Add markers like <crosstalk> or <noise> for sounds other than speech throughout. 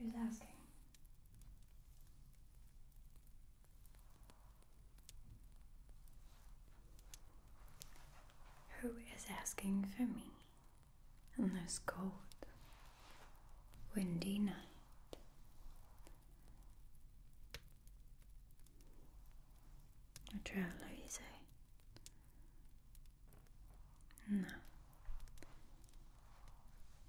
Who's asking? Who is asking for me on this cold, windy night? Lo trovare easy. No.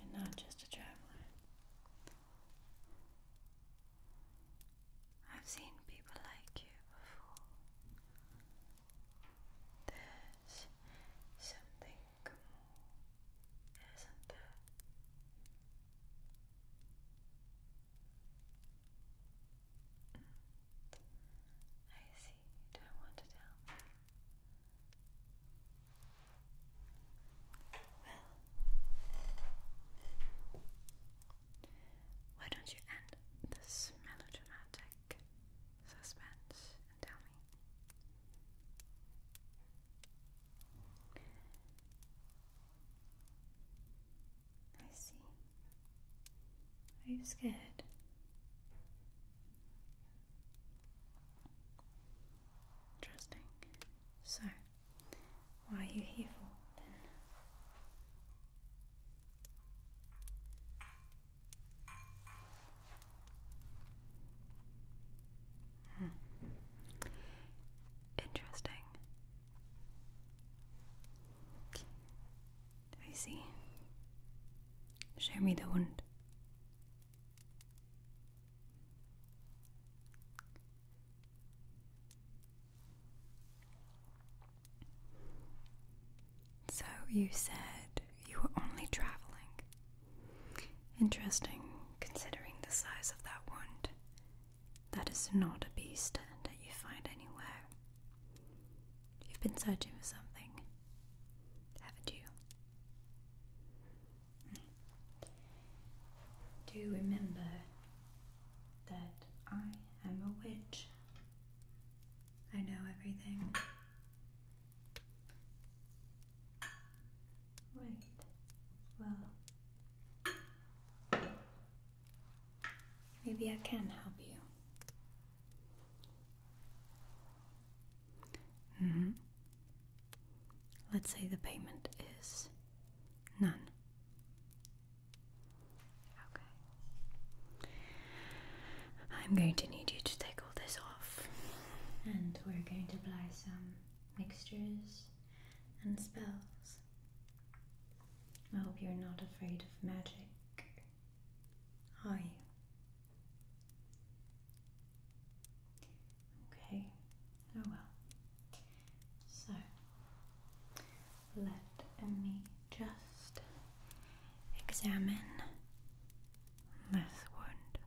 You're not just a traveler. I've seen people like you before. There's something more, isn't there? I see. You don't want to tell Well, why don't you end this melodramatic suspense and tell me? I see. Are you scared? Interesting. So, why are you here for then? Hmm. Interesting. I see. Show me the wound. So you said you were only traveling. Interesting, considering the size of that wound. That is not a beast that you find anywhere. You've been searching for something, haven't you? Hmm. Do you remember that I am a witch? I know everything. Right. Well, Maybe I can help you. Mm-hmm. Let's say the payment is none. Okay. I'm going to need you to take all this off. And we're going to apply some mixtures and spells. I hope you're not afraid of magic. Hi. Okay, oh well. So, let me just examine this wound.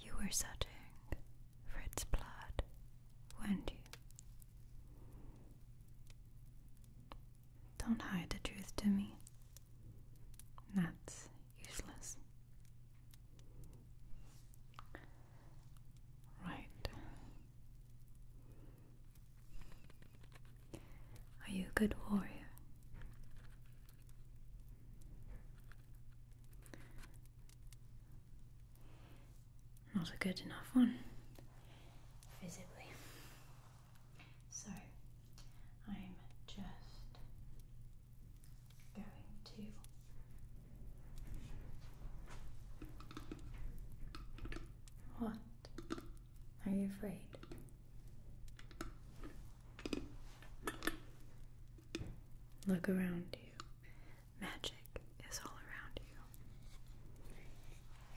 You were searching for its blood, weren't you? Don't hide the truth to me. That's useless. Right. Are you a good warrior? Not a good enough one, visibly. So I'm just going to. What? Are you afraid? Look around you. Magic is all around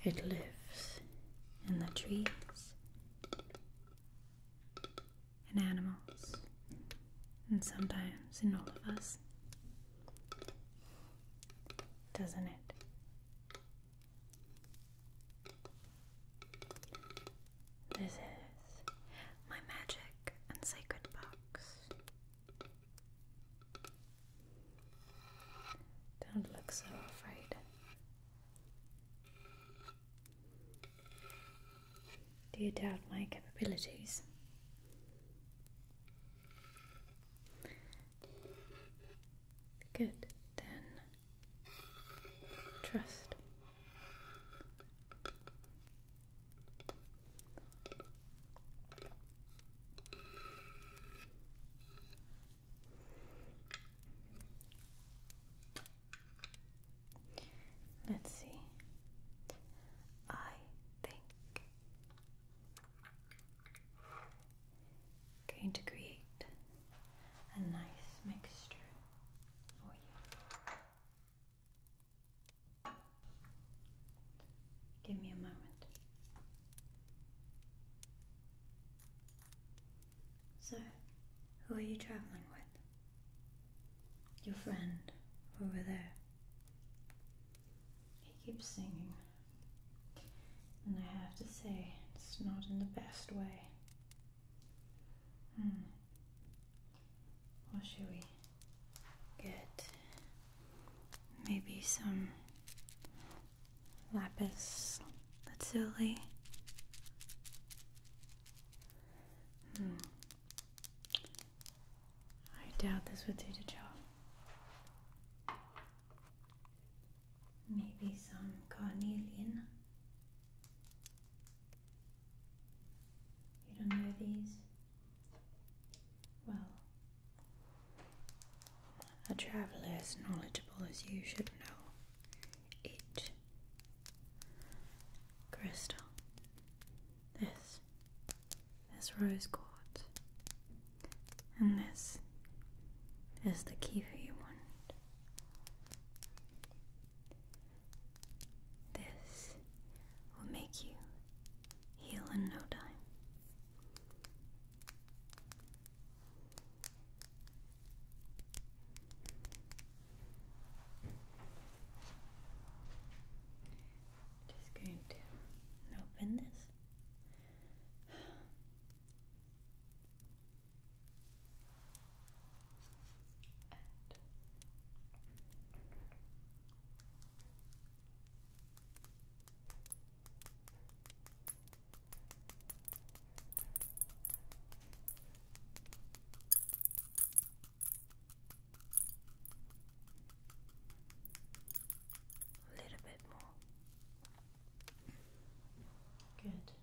you. It lives in the trees in animals and sometimes in all of us. Doesn't it? This is my magic and sacred box. Don't look so afraid. Do you doubt my capabilities? Good, then. Trust. Let's see. I think going to create a nice mixture for you. Give me a moment. So, who are you traveling with? Your friend over there. He keeps singing. And I have to say, it's not in the best way. Hmm. What should we get? Maybe some lapis lazuli. Hmm. I doubt this would do the job. Maybe some carnelian. You don't know these? Well, a traveller as knowledgeable as you should know it. Crystal. This. This rose quartz. And this is the key for you want. This will make you heal in no time. Just going to open this. A little bit more. Good.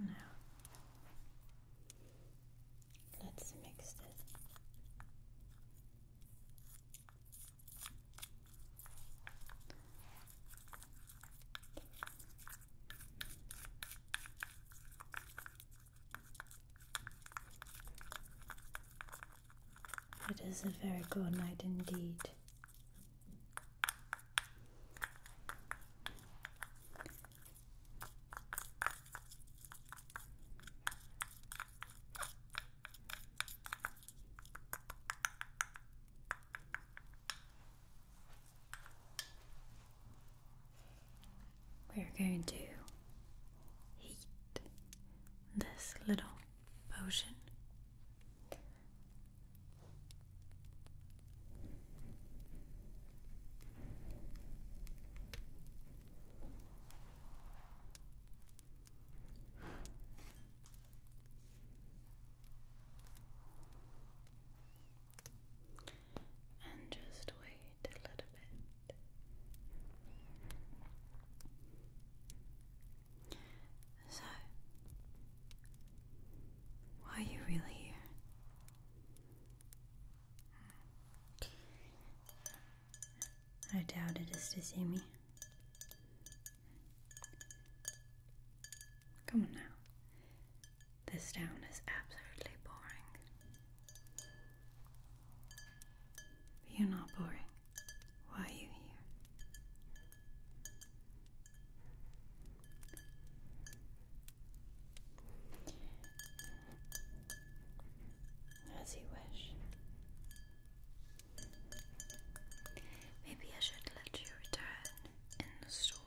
Now let's mix this. It is a very good night indeed. We're going to heat this little potion and just wait a little bit. So, why are you really here? I doubt it is to see me. Come on now. This town is absolutely boring. you're not boring. Why are you here? As you wish. Maybe I should let you return in the storm.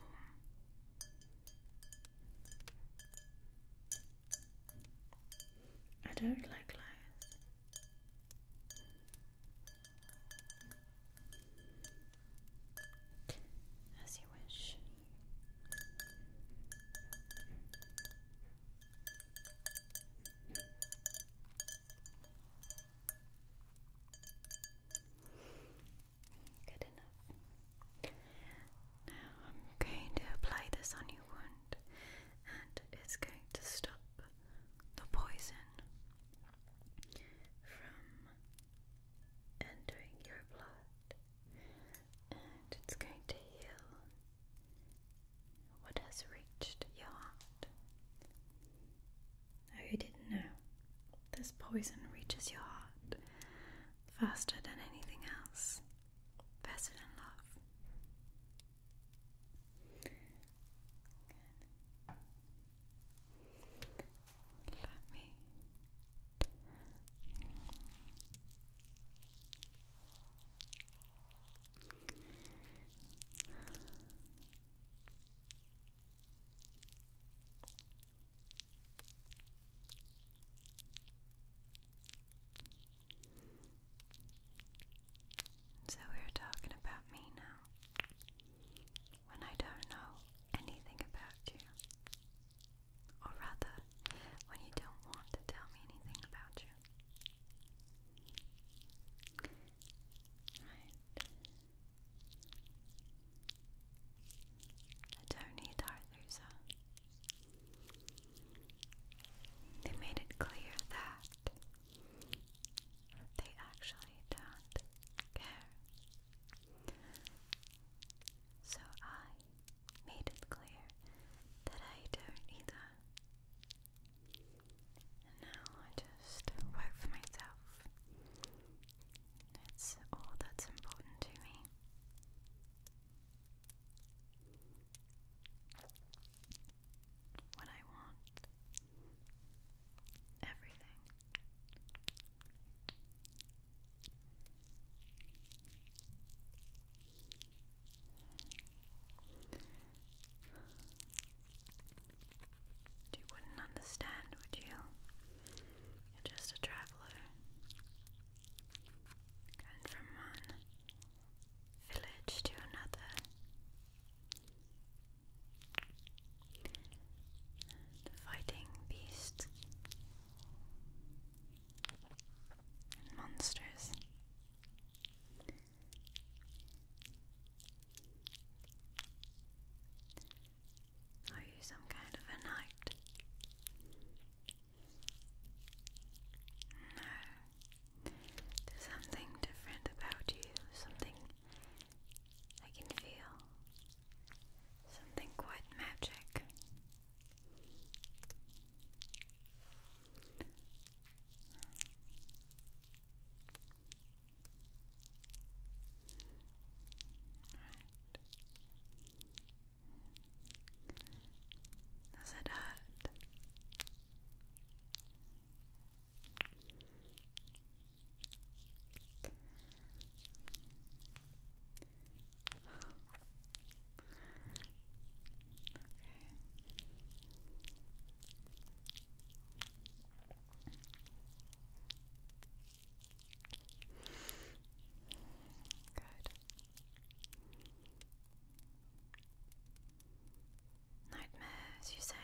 I don't like lies. As you wish. Good enough. Now I'm going to apply this on your wound and it's going to stop the poison from entering your blood, and it's going to heal what has reached your heart. Oh, you didn't know. This poison reaches your heart faster than anything else, faster than love. Let me so we're talking about me now when I don't know anything about you. Or rather, when you don't want to tell me anything about you. Right. I don't need Arthusa. They made it clear that they actually don't care so I made it clear that I don't either. And now I just work for myself. It's all that's important to me. What I want. Everything. You wouldn't understand, would you? just a traveller going from one village to another. The fighting beasts and monsters. Are you some kind of a knight? No. There's something different about you, something I can feel Something quite magic. Does it hurt? Nightmares, you say?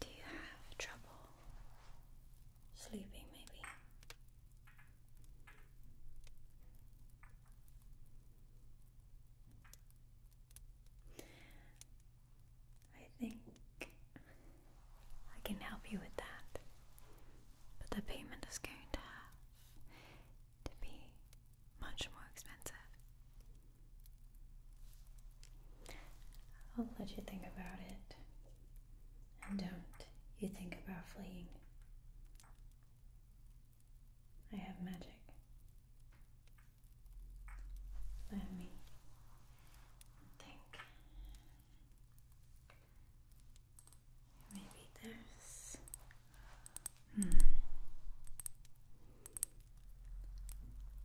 Do you have trouble sleeping, maybe? I think I can help you with that, but the payment is going to to be much more expensive. I'll let you think about it. And don't you think about fleeing. I have magic. Let me think. Maybe this. Hmm.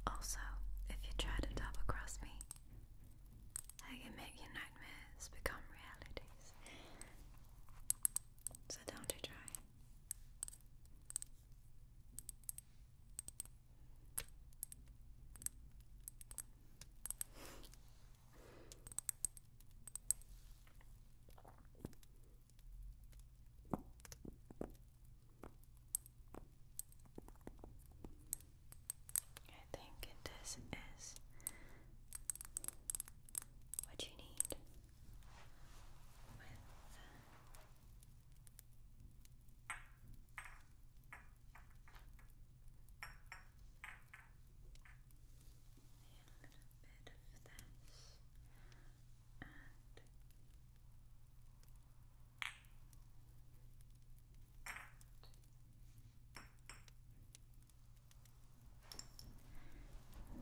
Also, if you try to double cross me, I can make your nightmares become realities. So don't you try. I think this is what you need with a bit of this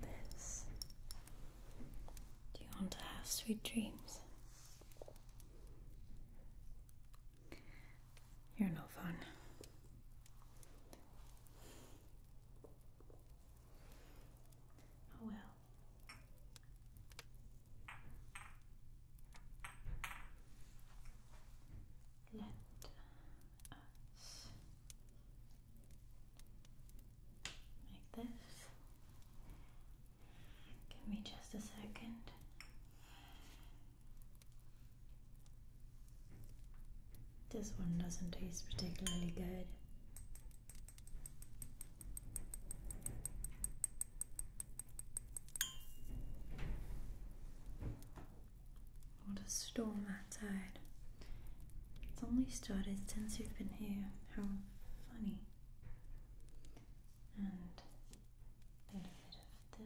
this. Do you want to have sweet dreams? You're no fun. Oh well. Let us make this. Give me just a second. This one doesn't taste particularly good. What a storm outside. It's only started since you've been here. How funny. And a bit of this.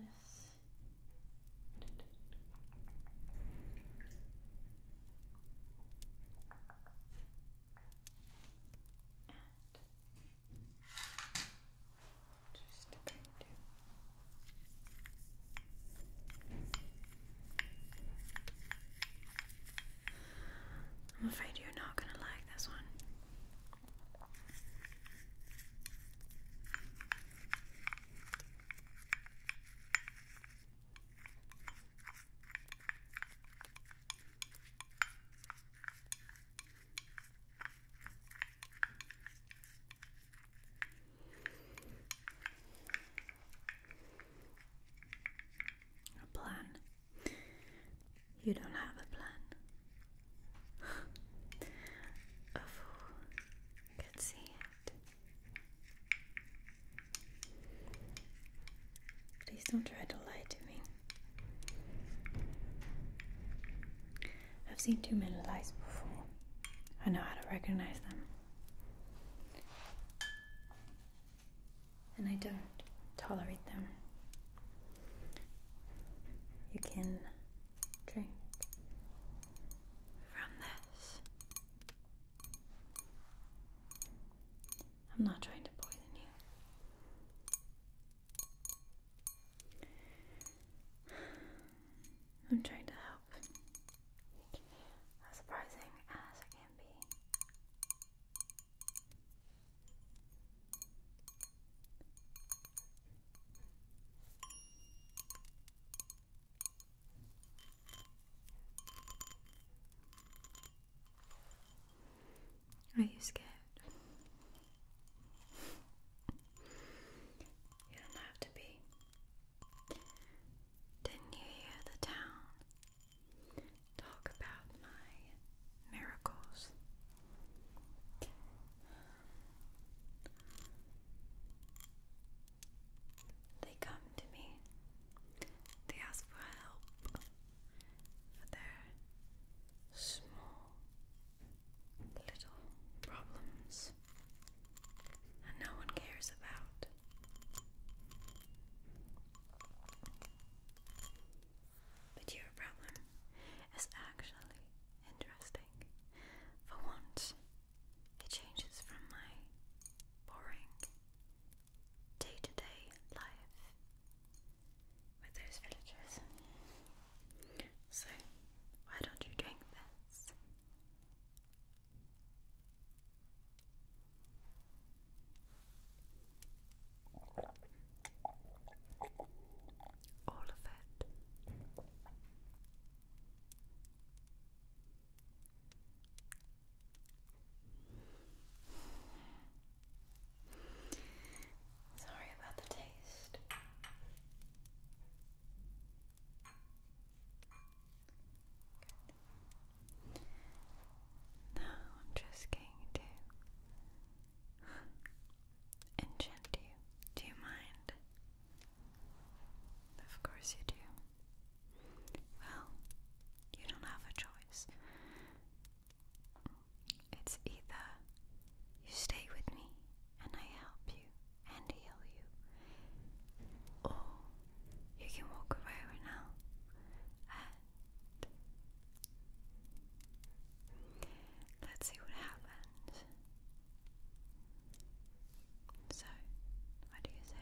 I'm afraid you're not going to like this one. A plan. You don't have a plan. a fool could see Please don't try to lie to me. I've seen too many lies before. I know how to recognize them. And I don't tolerate them. You can drink from this. I'm not trying to poison you. I'm trying to help. As surprising as it can be. Are you scared? you don't have to be. Didn't you hear the town talk about my miracles? They come to me they ask for help for their small little problems and no one cares about. But your problem is actually interesting. For once, it changes from my boring day to day life with those villagers. So, why don't you drink this? All of it. Sorry about the taste. Good. I'm just going to enchant you. Do you mind? Of course you do. Well, you don't have a choice. It's either you stay with me and I help you and heal you, or you can walk away right now and let's see what happens. So, what do you say?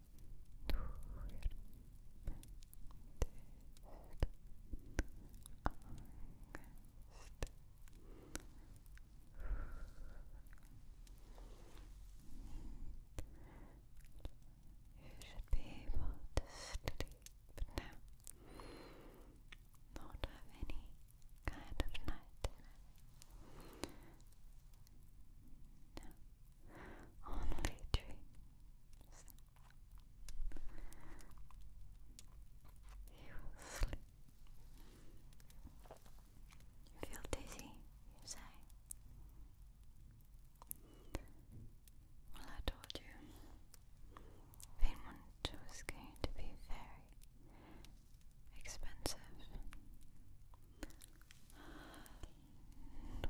You should be able to now. Not have any kind of night No, only dreams. You will sleep. You feel dizzy, you say. Well, I told you. Payment was going to be very expensive. <sighs>